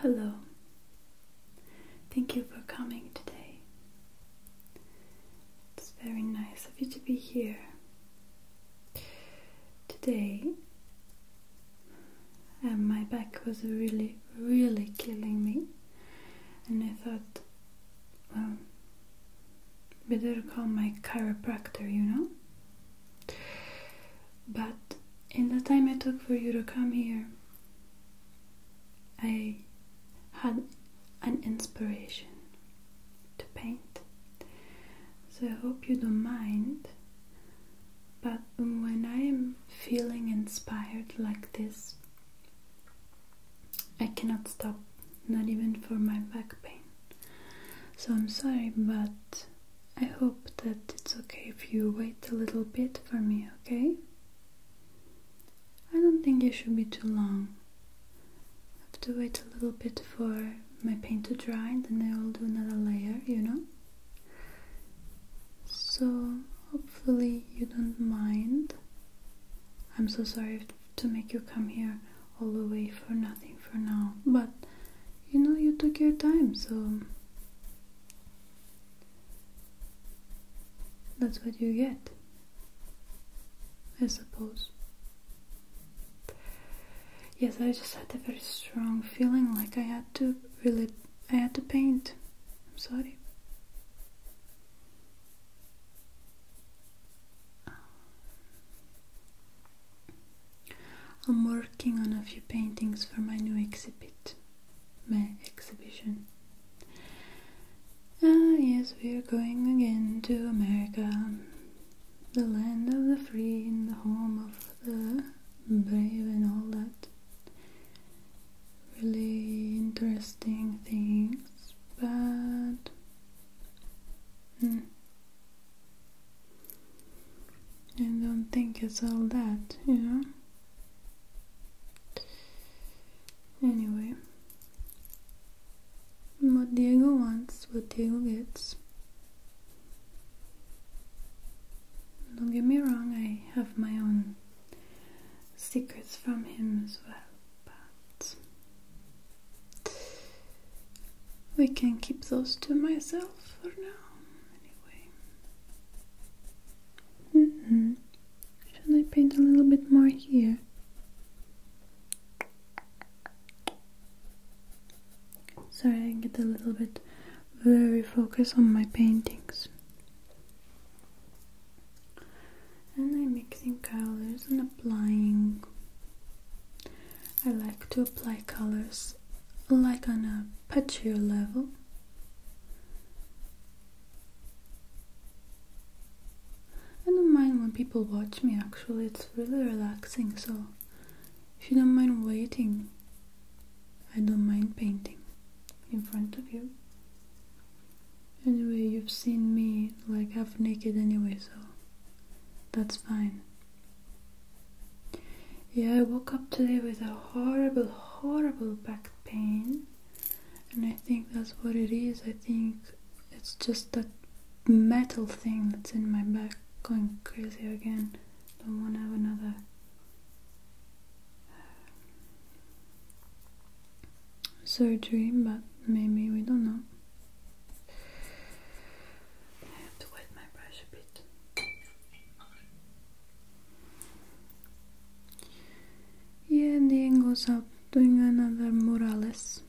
Hello. Thank you for coming today. It's very nice of you to be here. Today, And uh, my back was really, really killing me, and I thought, well, better call my chiropractor, you know? But in the time it took for you to come here, I had an inspiration to paint. So I hope you don't mind. But when I am feeling inspired like this, I cannot stop not even for my back pain. So I'm sorry, but I hope that it's okay if you wait a little bit for me, okay? I don't think it should be too long. I have to wait a little bit for my paint to dry and then I will do another layer, you know? So hopefully you don't mind. I'm so sorry to make you come here all the way for nothing for now. But you know, you took your time, so that's what you get, I suppose. Yes, I just had a very strong feeling like I had to really, I had to paint. I'm sorry. I'm working on a few paintings for my new exhibit, my exhibition. Ah, yes, we're going again to America, the land of the free and the home of the brave and all that. Really interesting things, but I hmm. don't think it's all that, you know? Anyway, what Diego wants, what Diego gets. Don't get me wrong, I have my own secrets from him as well, but we can keep those to myself for now, anyway. Mm-hmm. Should I paint a little bit more here? Sorry, I get a little bit very focused on my paintings. And I'm mixing colors and applying I like to apply colors like on a patchier level I don't mind when people watch me actually, it's really relaxing so if you don't mind waiting I don't mind painting in front of you anyway you've seen me like half naked anyway so that's fine. Yeah, I woke up today with a horrible, horrible back pain, and I think that's what it is. I think it's just that metal thing that's in my back going crazy again. Don't want to have another. surgery, but maybe we don't know. I have to wet my brush a bit. Yeah, the end up doing another Morales.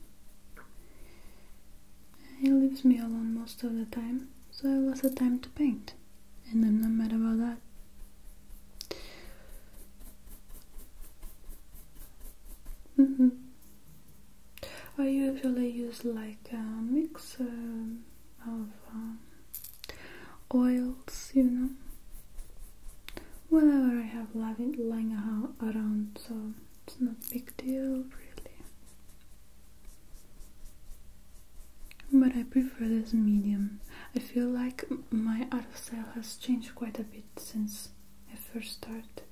He leaves me alone most of the time, so I lost the time to paint, and I'm not mad about that. Mm -hmm. I usually use like a mix of um, oils, you know, whatever I have lying around, so it's not big deal really. But I prefer this medium. I feel like my art of style has changed quite a bit since I first started.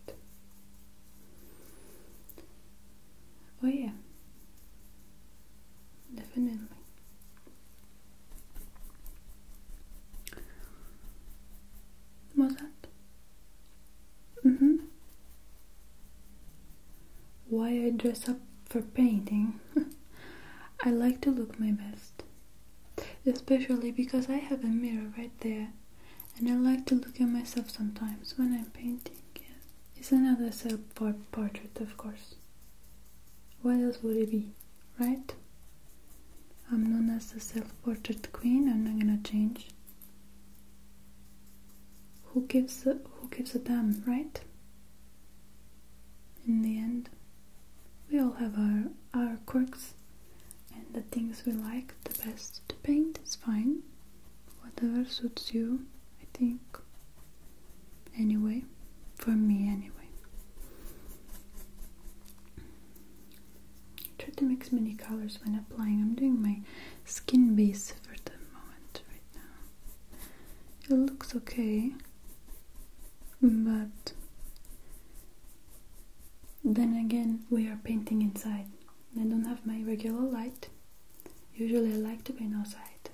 Oh, yeah, definitely. Was that? Mm Why I dress up for painting? I like to look my best, especially because I have a mirror right there and I like to look at myself sometimes when I'm painting. It's another self-portrait, of course. What else would it be, right? I'm known as the self-portrait queen. I'm not gonna change. Who gives a, who gives a damn, right? In the end, we all have our our quirks and the things we like the best the paint is fine, whatever suits you, I think. Anyway, for me, anyway. Try to mix many colors when applying. I'm doing my skin base for the moment right now. It looks okay, but then again, we are painting inside, I don't have my regular light. Usually I like to be outside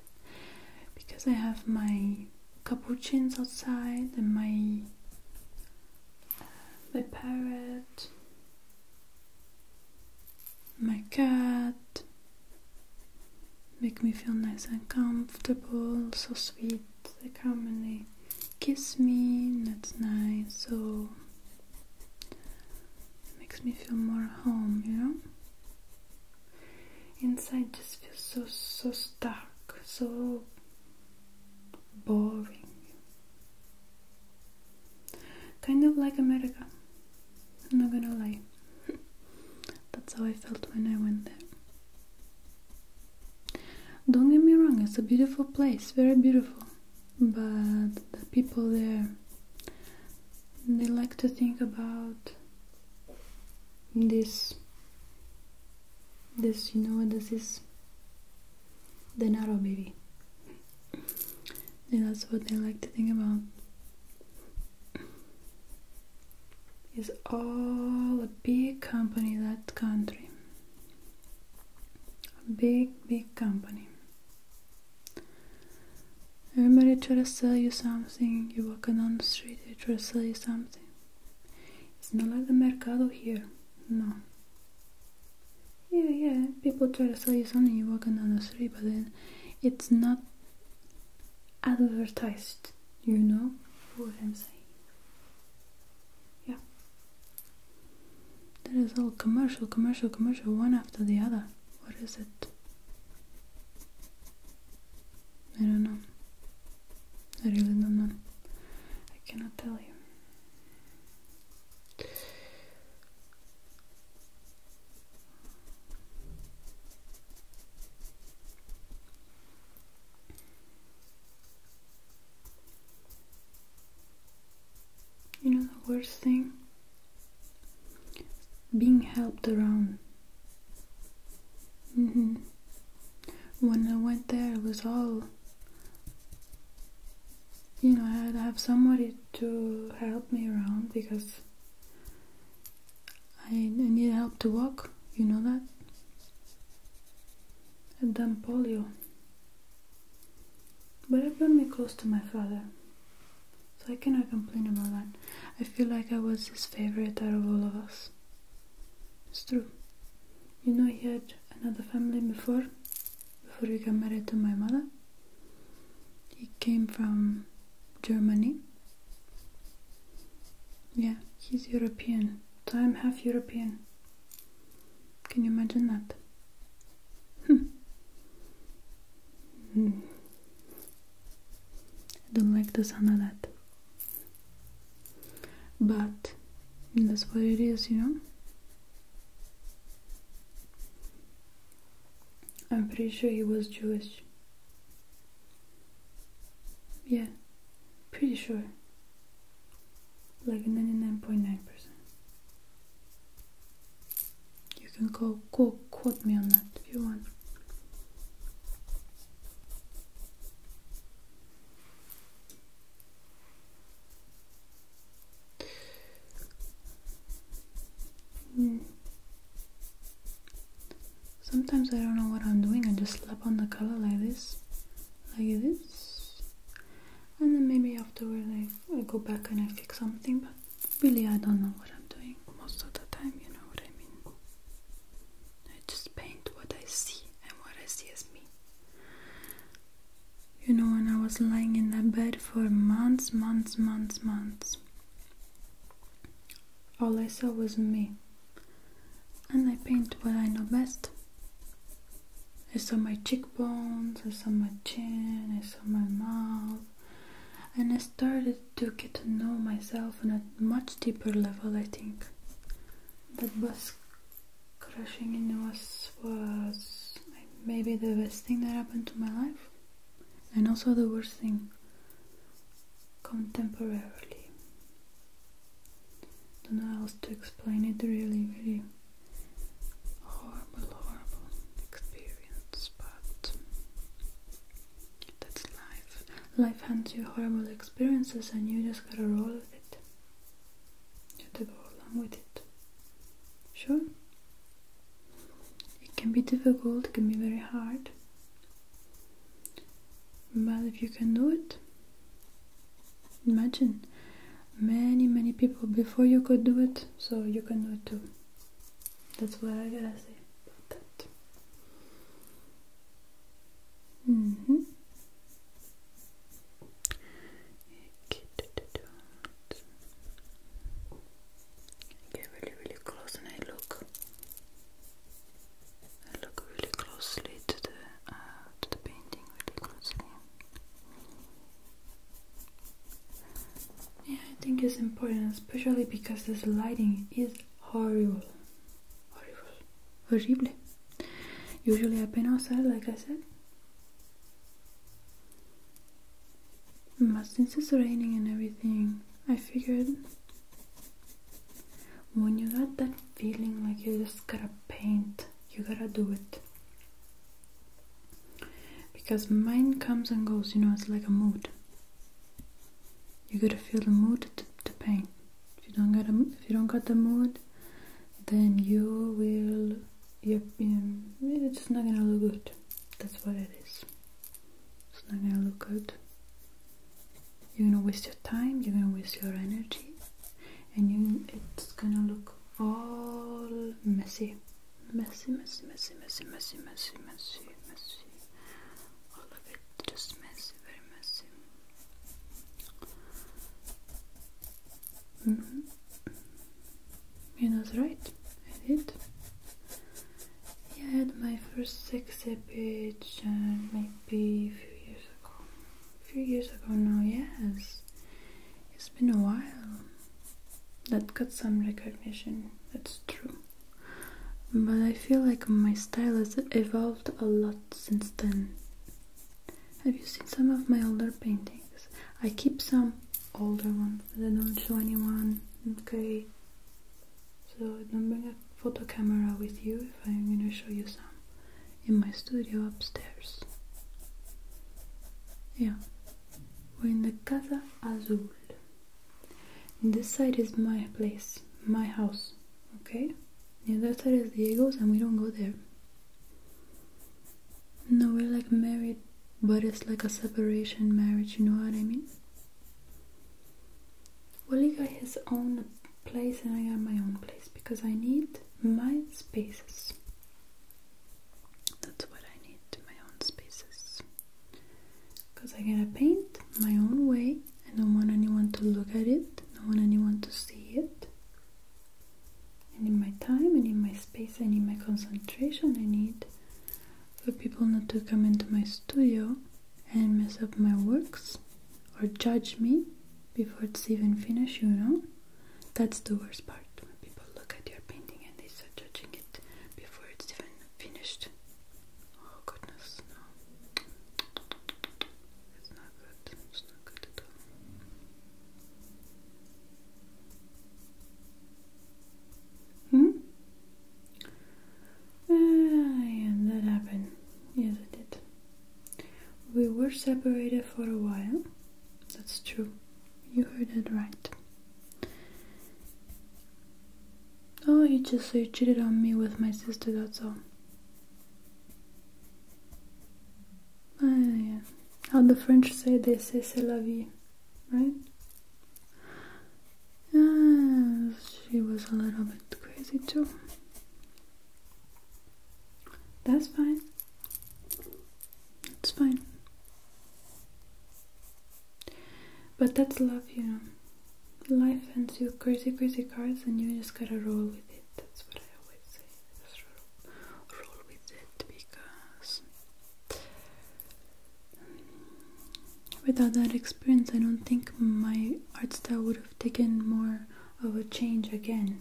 because I have my capuchins outside and my uh, my parrot, my cat make me feel nice and comfortable, so sweet. They come and they kiss me, that's nice. So it makes me feel more home, you know? Inside just feels so, so stuck, so boring. Kind of like America, I'm not gonna lie. That's how I felt when I went there. Don't get me wrong, it's a beautiful place, very beautiful but the people there they like to think about this this you know what this is the narrow baby and that's what they like to think about is all a big company that country a big, big company. Everybody try to sell you something. You walk on the street, they try to sell you something. It's not like the mercado here. No. Yeah, yeah. People try to sell you something. You walk on the street, but then it's not advertised. You know what I'm saying? Yeah. That is all commercial, commercial, commercial, one after the other. What is it? I don't know. I really don't know. I cannot tell you. You know the worst thing? Being helped around. Mm-hmm. When I went there, it was all. You know, I had to have somebody to help me around because I need help to walk. You know that? had done polio. But it brought me close to my father, so I cannot complain about that. I feel like I was his favorite out of all of us. It's true. You know, he had another family before, before he got married to my mother. He came from Germany. Yeah, he's European. So I'm half European. Can you imagine that? Hmm. I don't like the sound of that. But that's what it is, you know? I'm pretty sure he was Jewish. Yeah, pretty sure. Like 99.9%. You can go, quote me on that if you want. Hmm. Sometimes I don't know what I'm doing, I just slap on the color like this, like this, and then maybe afterward I, I go back and I fix something. But really, I don't know what I'm doing most of the time. You know what I mean? I just paint what I see, and what I see is me. You know, when I was lying in that bed for months, months, months, months, all I saw was me, and I paint what I know best. I saw my cheekbones, I saw my chin, I saw my mouth. And I started to get to know myself on a much deeper level, I think. That bus crashing in was, was maybe the best thing that happened to my life. And also the worst thing, contemporarily. Don't know how else to explain it really, really horrible, horrible experience, but that's life. Life hands you horrible experiences, and you just gotta roll with it. You have to go along with it. Sure, it can be difficult, it can be very hard, but if you can do it, imagine many many people before you could do it so you can do it too that's what i gotta say about that mm -hmm. I really really close and I look I look really closely to the uh, to the painting really closely yeah, I think it's important, especially because this lighting is horrible. Horrible. Horrible. Usually i paint outside, like I said. But since it's raining and everything, I figured when you got that feeling like you just gotta paint, you gotta do it. Because mind comes and goes, you know, it's like a mood. You gotta feel the mood to, to paint. If you don't get, a, if you don't get the mood, then you will you're, you're, not gonna look good. That's what it is. It's not gonna look good. You're gonna waste your time, you're gonna waste your energy, and you it's gonna look all messy messy messy messy messy messy messy messy messy all of it just messy very messy mm -hmm. you know right I did yeah I had my first sexy page uh, maybe a few years ago a few years ago now yes it's been a while that got some recognition, that's true. But I feel like my style has evolved a lot since then. Have you seen some of my older paintings? I keep some older ones that I don't show anyone, okay? So I don't bring a photo camera with you if I'm gonna show you some in my studio upstairs. Yeah, we're in the Casa Azul. This side is my place, my house, okay? The other side is Diego's and we don't go there. No, we're like married, but it's like a separation marriage, you know what I mean? Well, he got his own place and I got my own place because I need my spaces. That's what I need my own spaces. Because I gotta paint my own way. I don't want anyone to look at it. I don't want anyone to see it. I need my time I need my space I need my concentration I need for people not to come into my studio and mess up my works or judge me before it's even finished, you know. That's the worst part when people look at your painting and they start judging it before it's even finished. Oh goodness, no. It's not good. It's not good at all. Hmm? yeah, that happened. Yes, it did. We were separated for a while. That's true. You heard it right. Oh, you just so you cheated on me with my sister, that's all. Ah, yeah. How the French say, they say c'est la vie, right? Yeah, she was a little bit crazy too. That's fine. It's fine. But that's love, you know. Life hands you crazy, crazy cards, and you just gotta roll with it. That's what I always say. roll with it because without that experience, I don't think my art style would have taken more of a change again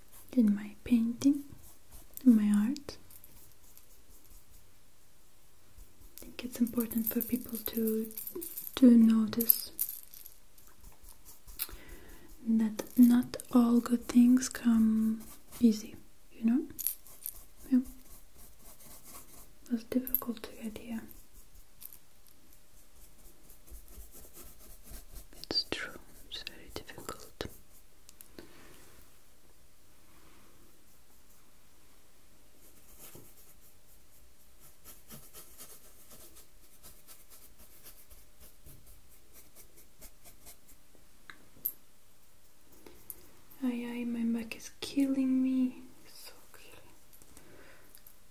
in my painting, in my art. I think it's important for people to to notice that not all good things come easy, you know? Yeah. It was difficult to get here. It's true, it's very difficult. Oh yeah, my back is killing me. So killing.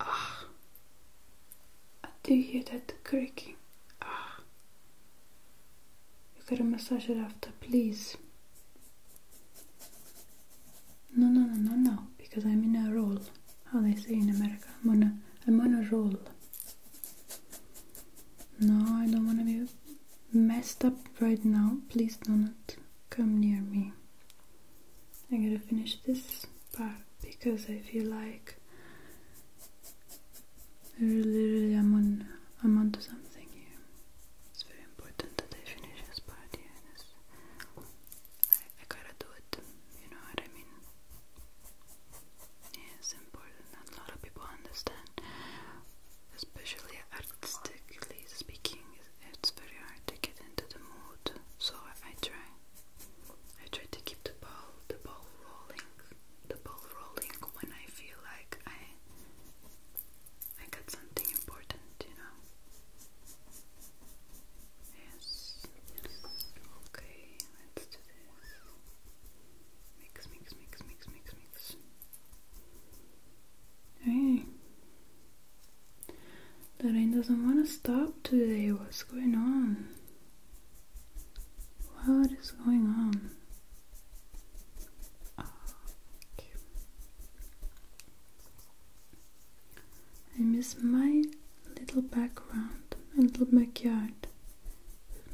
Ah, do hear that creaking? Ah, you gotta massage it after, please. No, no, no, no, no, because I'm in a roll. How they say in America, I'm on a, I'm on a roll. No, I don't wanna be messed up right now. Please do not come near me. I gotta finish this part because I feel like Literally, I'm on, I'm onto something here. It's very important that they finish this party, here. I, gotta do it. You know what I mean? Yeah, important. a lot of people understand, especially artistically speaking. It's very hard to get into the mood, so I try. I try to keep the ball, the ball rolling the ball rolling when I feel like I I got something important, you know. Yes. Okay, let's do this. Mix, mix, mix, mix, mix, mix. Hey. The rain doesn't want to stop today. What's going on? What is going on? I miss my little background, my little backyard.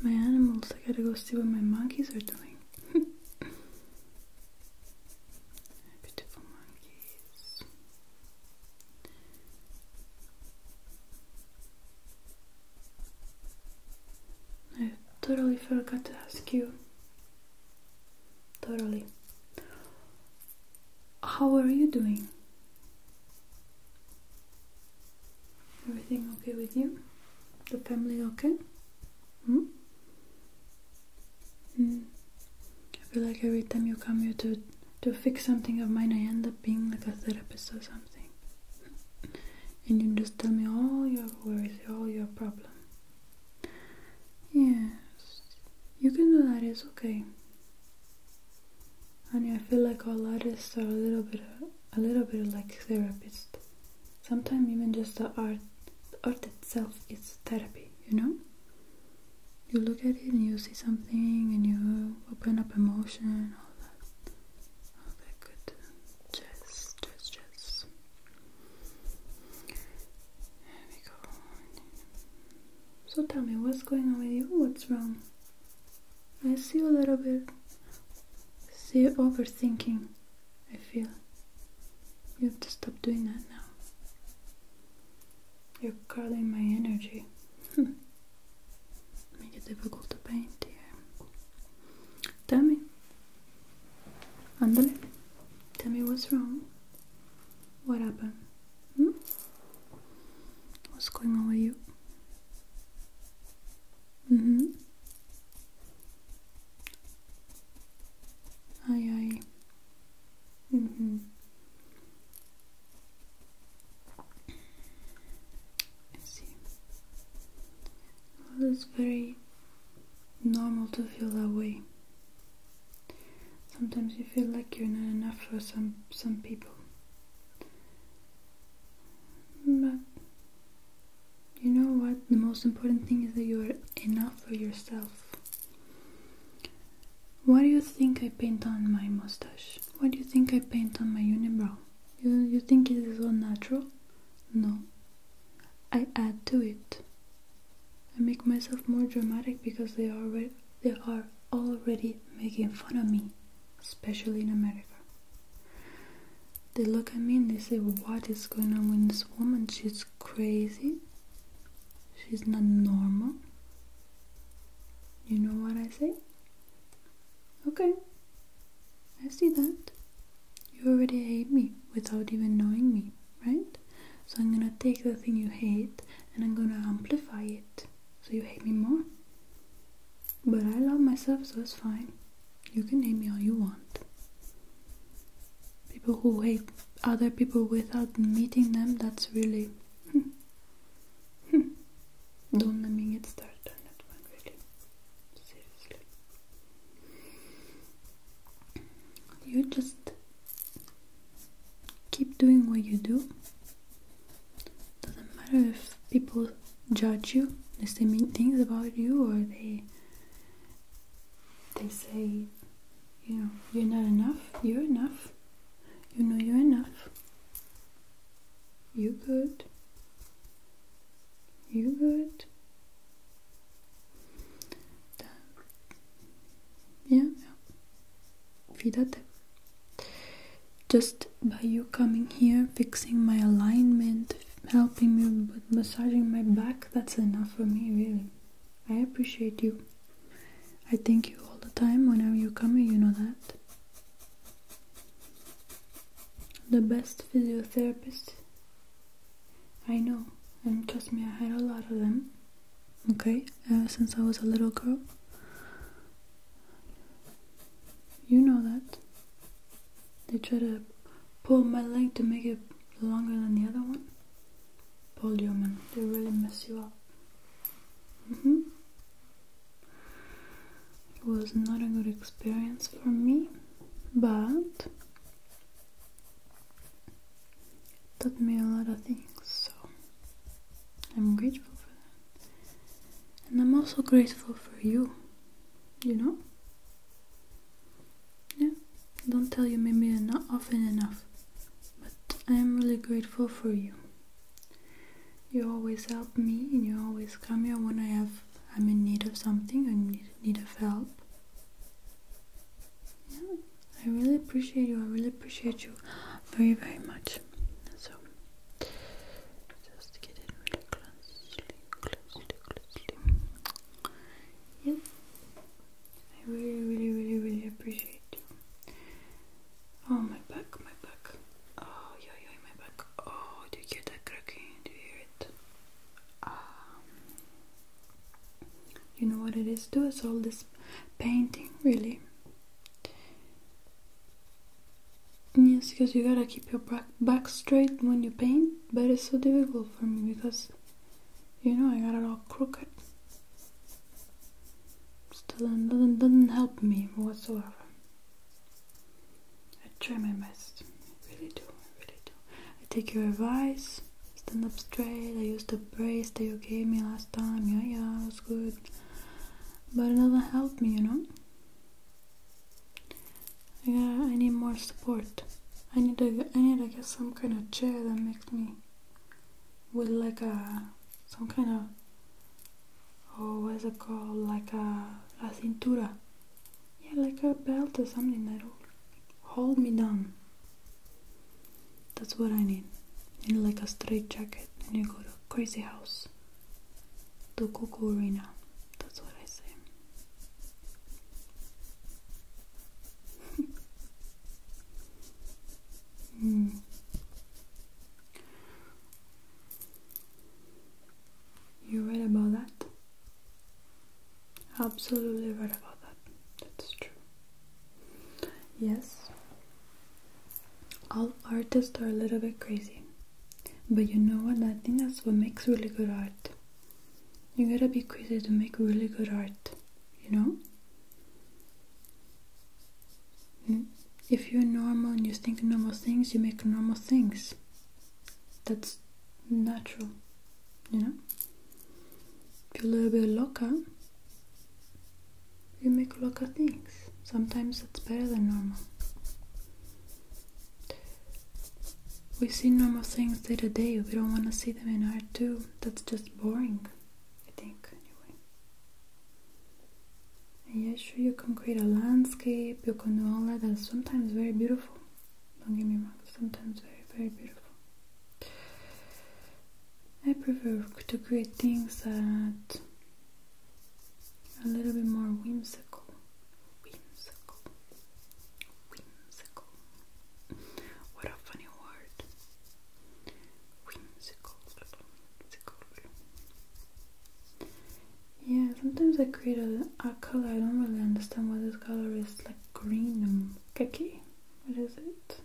my animals, I gotta go see what my monkeys are doing. Beautiful monkeys. I totally forgot to ask you. Totally. How are you doing? Everything okay with you? The family okay? Hmm? Hmm. I feel like every time you come here to to fix something of mine, I end up being like a therapist or something and you just tell me all your worries, all your problems. Yes, you can do that, it's okay. I mean, I feel like all artists are a little bit, a little bit like therapists. Sometimes even just the art, the art itself is therapy, you know? You look at it and you see something and you open up emotion, all that. All oh, that good just, just, just. There we go. So tell me, what's going on with you? What's wrong? I see a little bit. See overthinking. I feel. You have to stop doing that now. You're curling my energy. Make it difficult to paint here. Tell me. Andale. Tell me what's wrong. What happened? Hmm? What's going on with you? Mm-hmm. Aye aye. Mm-hmm it's oh, very normal to feel that way. Sometimes you feel like you're not enough for some some people. But you know what? The most important thing is that you are enough for yourself. What do you think I paint on my mustache? What do you think I paint on my unibrow? You, you think it is all natural? No. I add to it. I make myself more dramatic because they are they are already making fun of me, especially in America. They look at me and they say, "What is going on with this woman? She's crazy. She's not normal." You know what I say? Okay, I see that. You already hate me without even knowing me, right? So I'm gonna take the thing you hate and I'm gonna amplify it so you hate me more. But I love myself, so it's fine. You can hate me all you want. People who hate other people without meeting them, that's really. Hmm, hmm. Don't let me get started on that one, really. You just keep doing what you do. Doesn't matter if people judge you, they say mean things about you, or they they say, you know, you're not enough. You're enough. You know you're enough. You good? You good? Yeah, yeah. Fidate. Just by you coming here, fixing my alignment, helping me with massaging my back, that's enough for me, really. I appreciate you. I thank you all the time whenever you come here, you know that the best physiotherapist I know, and trust me, I had a lot of them, okay, uh, since I was a little girl. You know that. They try to pull my leg to make it longer than the other one. Pull your man, they really mess you up. hmm it was not a good experience for me, but it taught me a lot of things, so I'm grateful for that. And I'm also grateful for you, you know? Yeah, don't tell you maybe not often enough, but I am really grateful for you. You always help me and you always come here when I have I'm in need of something, I'm need of help. Yeah, I really appreciate you, I really appreciate you very very much. So just get in really closely, closely, closely. Yep. I really really really really appreciate you. Oh my back, my back. Oh, yo, yo, my back. Oh, do you hear that cracking? Do you hear it? Um, you know what it is Do It's all this painting, really. Yes, because you gotta keep your back straight when you paint, but it's so difficult for me because, you know, I got it all crooked. Still, doesn't, doesn't help me whatsoever. I try my best. I really do. I really do. I take your advice. Stand up straight. I use the brace that you gave me last time. Yeah, yeah, it was good. But it doesn't help me, you know. I I need more support. I need to. I need to get some kind of chair that makes me with like a some kind of oh what is it called like a la cintura yeah, like a belt or something that'll hold me down. That's what I need. In like a straight jacket and you go to crazy house. To Coco Arena. That's what I say. mm. You're right about that. Absolutely right about that. That's true. Yes. All artists are a little bit crazy. But you know what? I think that's what makes really good art. You gotta be crazy to make really good art, you know? If you're normal and you think normal things, you make normal things that's natural, you know. If you love a loca, you make loca things. Sometimes it's better than normal. We see normal things day to day, we don't want to see them in art too. That's just boring, I think, anyway. And yeah, sure, you can create a landscape, you can do all that. That's sometimes very beautiful. Don't get me wrong, sometimes very, very beautiful. I prefer to create things that are a little bit more whimsical. Whimsical. Whimsical. What a funny word. Whimsical. Whimsical. Yeah, sometimes I create a, a color. I don't really understand what this color is. Like green and khaki. What is it?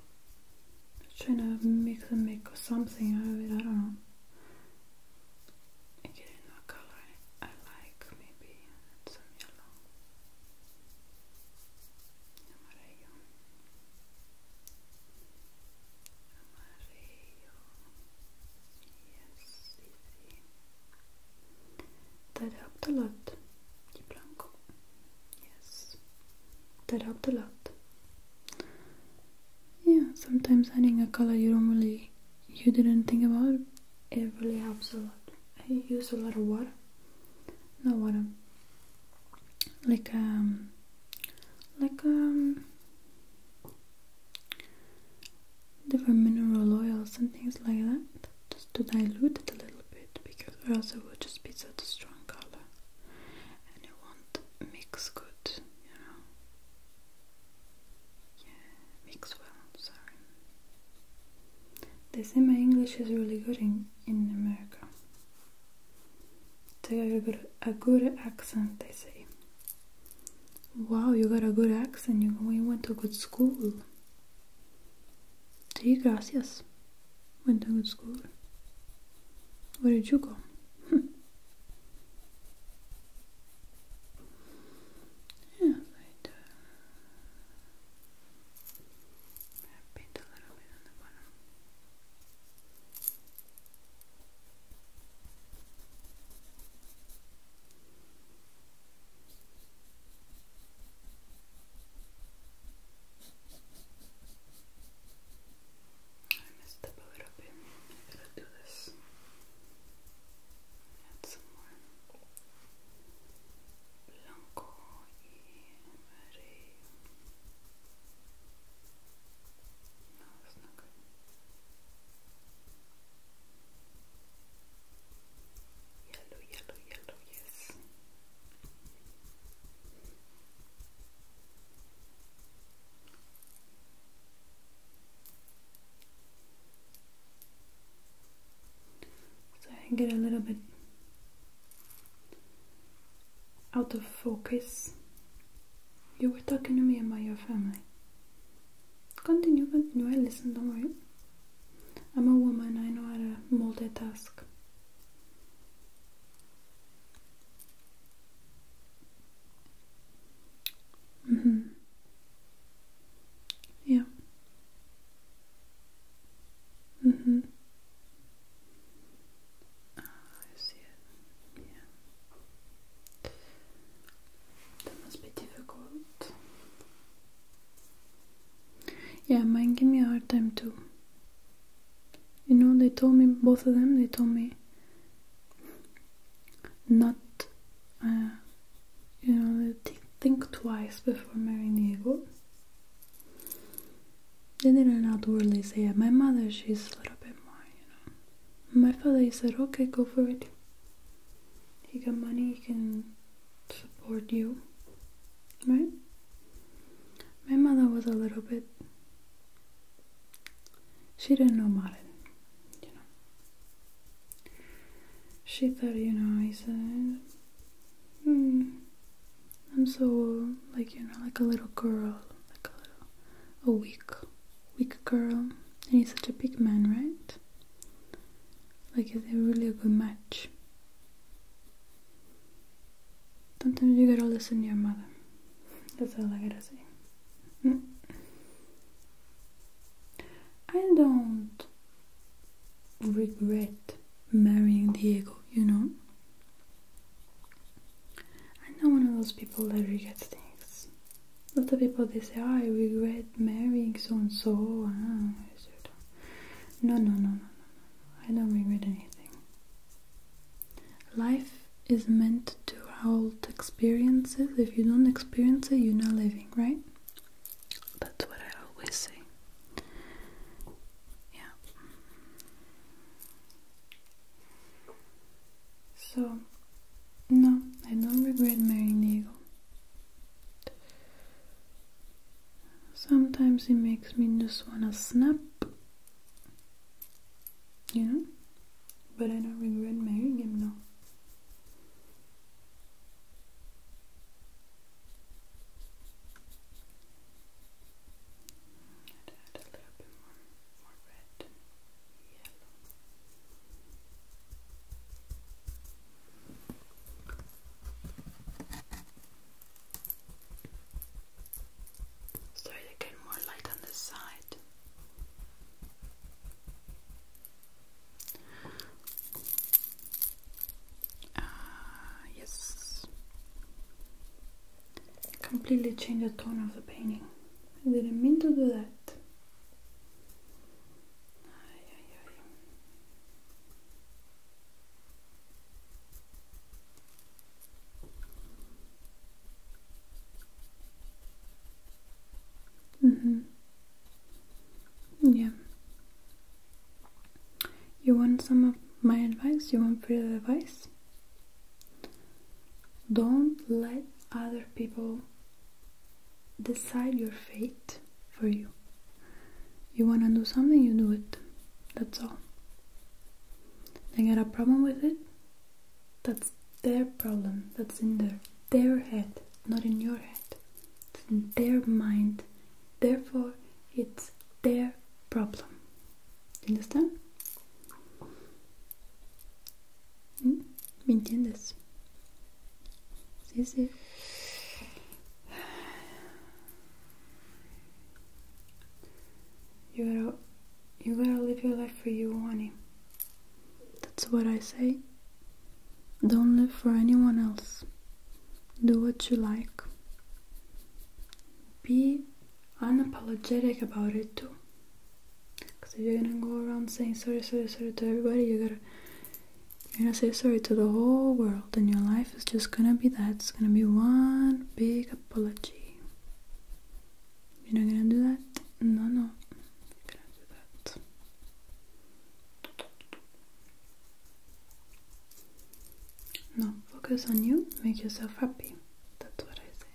I'm trying to mix and make something out of it. I don't know. I a color I like. Maybe some yellow. Amarillo. Amarillo. That helped a lot. Di blanco. Yes. That helped a lot. Yeah, sometimes adding a color you don't really, you didn't think about, it really helps a lot. I use a lot of water. No water. Like um, like um, different mineral oils and things like that just to dilute it a little bit because otherwise it would just be such a strong color and it won't mix good, you know. Yeah, mix well, sorry. They say my English is really good in, in America. They have a good, a good accent, they say. Wow, you got a good accent. You went to a good school. Sí, gracias. Went to a good school. Where did you go? yeah, uh, I messed up a little bit. I got do this. Add some more blanco y amarillo. No, that's so I get a little bit out of focus. You were talking to me about your family. Continue, continue. I listen, don't worry. I'm a woman, I know how to multitask. Mm hmm. Yeah. Mm hmm. I see it. Yeah. That must be difficult. Yeah, mine gave me a hard time too. You know, they told me, both of them, they told me not, uh, you know, think twice before marrying Diego. They didn't outwardly say it. My mother, she's a little bit more, you know. My father, he said, okay, go for it he got money, he can support you, right? My mother was a little bit. She didn't know Martin, you know. She thought, you know, he said, hmm, I'm so, like, you know, like a little girl, like a little, a weak, weak girl. And he's such a big man, right? Like is it really a good match. Sometimes you gotta listen to your mother. That's all I gotta say. I don't regret marrying Diego, you know? I'm not one of those people that regrets things a lot of people they say, I regret marrying so and so. No, no, no, no, no. I don't regret anything. Life is meant to hold experiences. If you don't experience it, you're not living, right? That's what I always say. Yeah. So no, I don't regret marrying Diego. Sometimes it makes me just wanna snap. You know? But I don't regret marrying him, now. Sorry, again, more light on this side. Ah, yes. Completely change the tone of the painting. I didn't mean to do that. Ay, mm-hmm. ay, yeah. You want some of my advice? You want free advice? Don't let other people decide your fate for you. You want to do something, you do it. That's all. They got a problem with it? That's their problem. That's in their, their head, not in your head. It's their mind. Therefore, it's their problem. You understand? Hmm? ¿Me entiendes? This is you gotta you gotta live your life for you, honey. That's what I say. Don't live for anyone else. Do what you like. Be unapologetic about it too. Because if you're gonna go around saying sorry, sorry, sorry to everybody, you gotta you're gonna say sorry to the whole world, and your life is just gonna be that. It's gonna be one big apology. You're not gonna do that? No, no. You're gonna do that. No, focus on you, make yourself happy. That's what I say.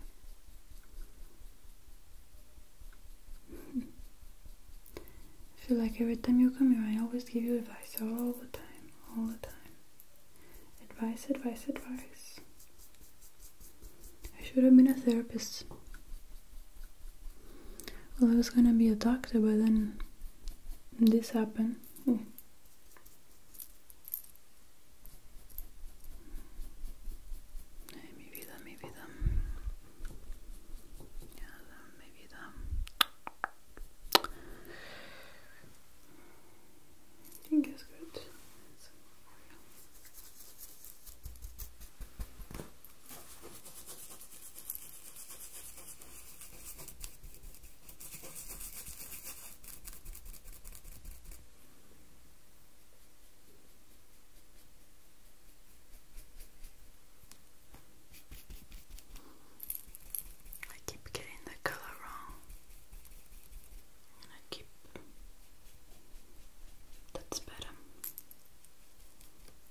I feel like every time you come here, I always give you advice all the time, all the time. Advice, advice, advice. I should have been a therapist. Well, I was gonna be a doctor, but then this happened. Hmm. Yeah, then maybe the I think it's good. I keep getting the color wrong, I keep that's better.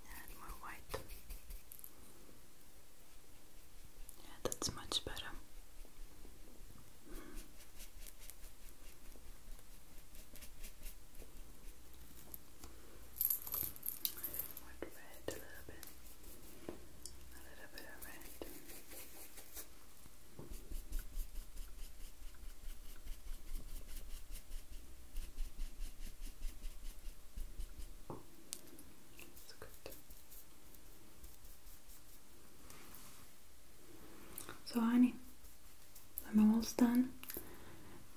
Add more white. Yeah, that's much better a little bit. A little bit of red. That's good. So honey, I'm almost done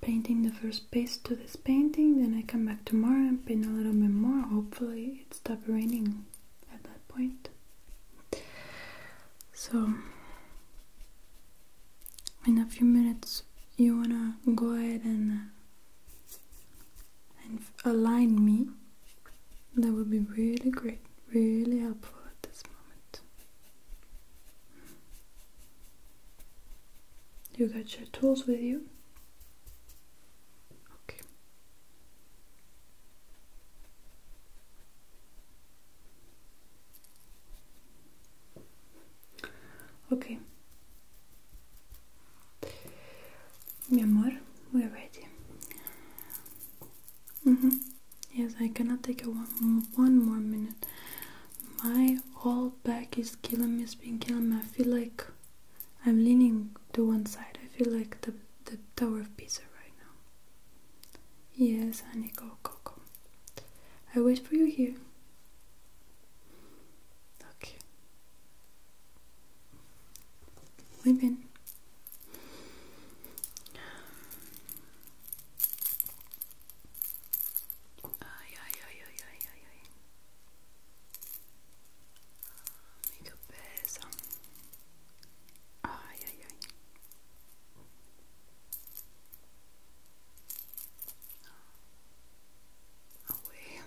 painting the first piece to this painting, then I come back tomorrow and paint a little bit more. Hopefully it stopped raining at that point. So in a few minutes you wanna go ahead and uh, and align me. That would be really great, really helpful at this moment. You got your tools with you? Okay. Okay. Mi amor, we're ready. Mm -hmm. Yes, I cannot take one, one more minute. My whole back is killing me, it's been killing me. I feel like I'm leaning to one side. I feel like the, the Tower of Pisa right now. Yes, honey, go, go, I wait for you here. Okay. We've Ay, ay, ay, ay, ay, ay, ay. Mi cabeza. Ay, ay, ay. Away. Ah,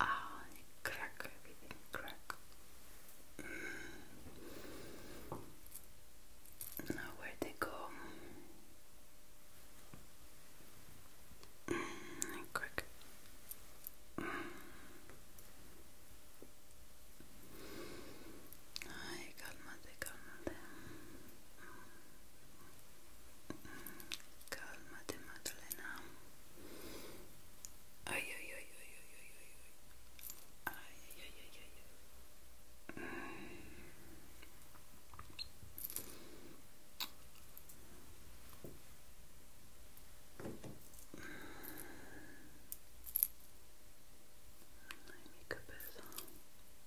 Ah, crack everything, crack. Mm. Now where they go? Mm, crack. Mm. Ay, cálmate, cálmate. Calmate Maddalena. Ay, ay, ay, ay, ay, ay, ay, ay, ay, ay, ay, ay. My makeup is on.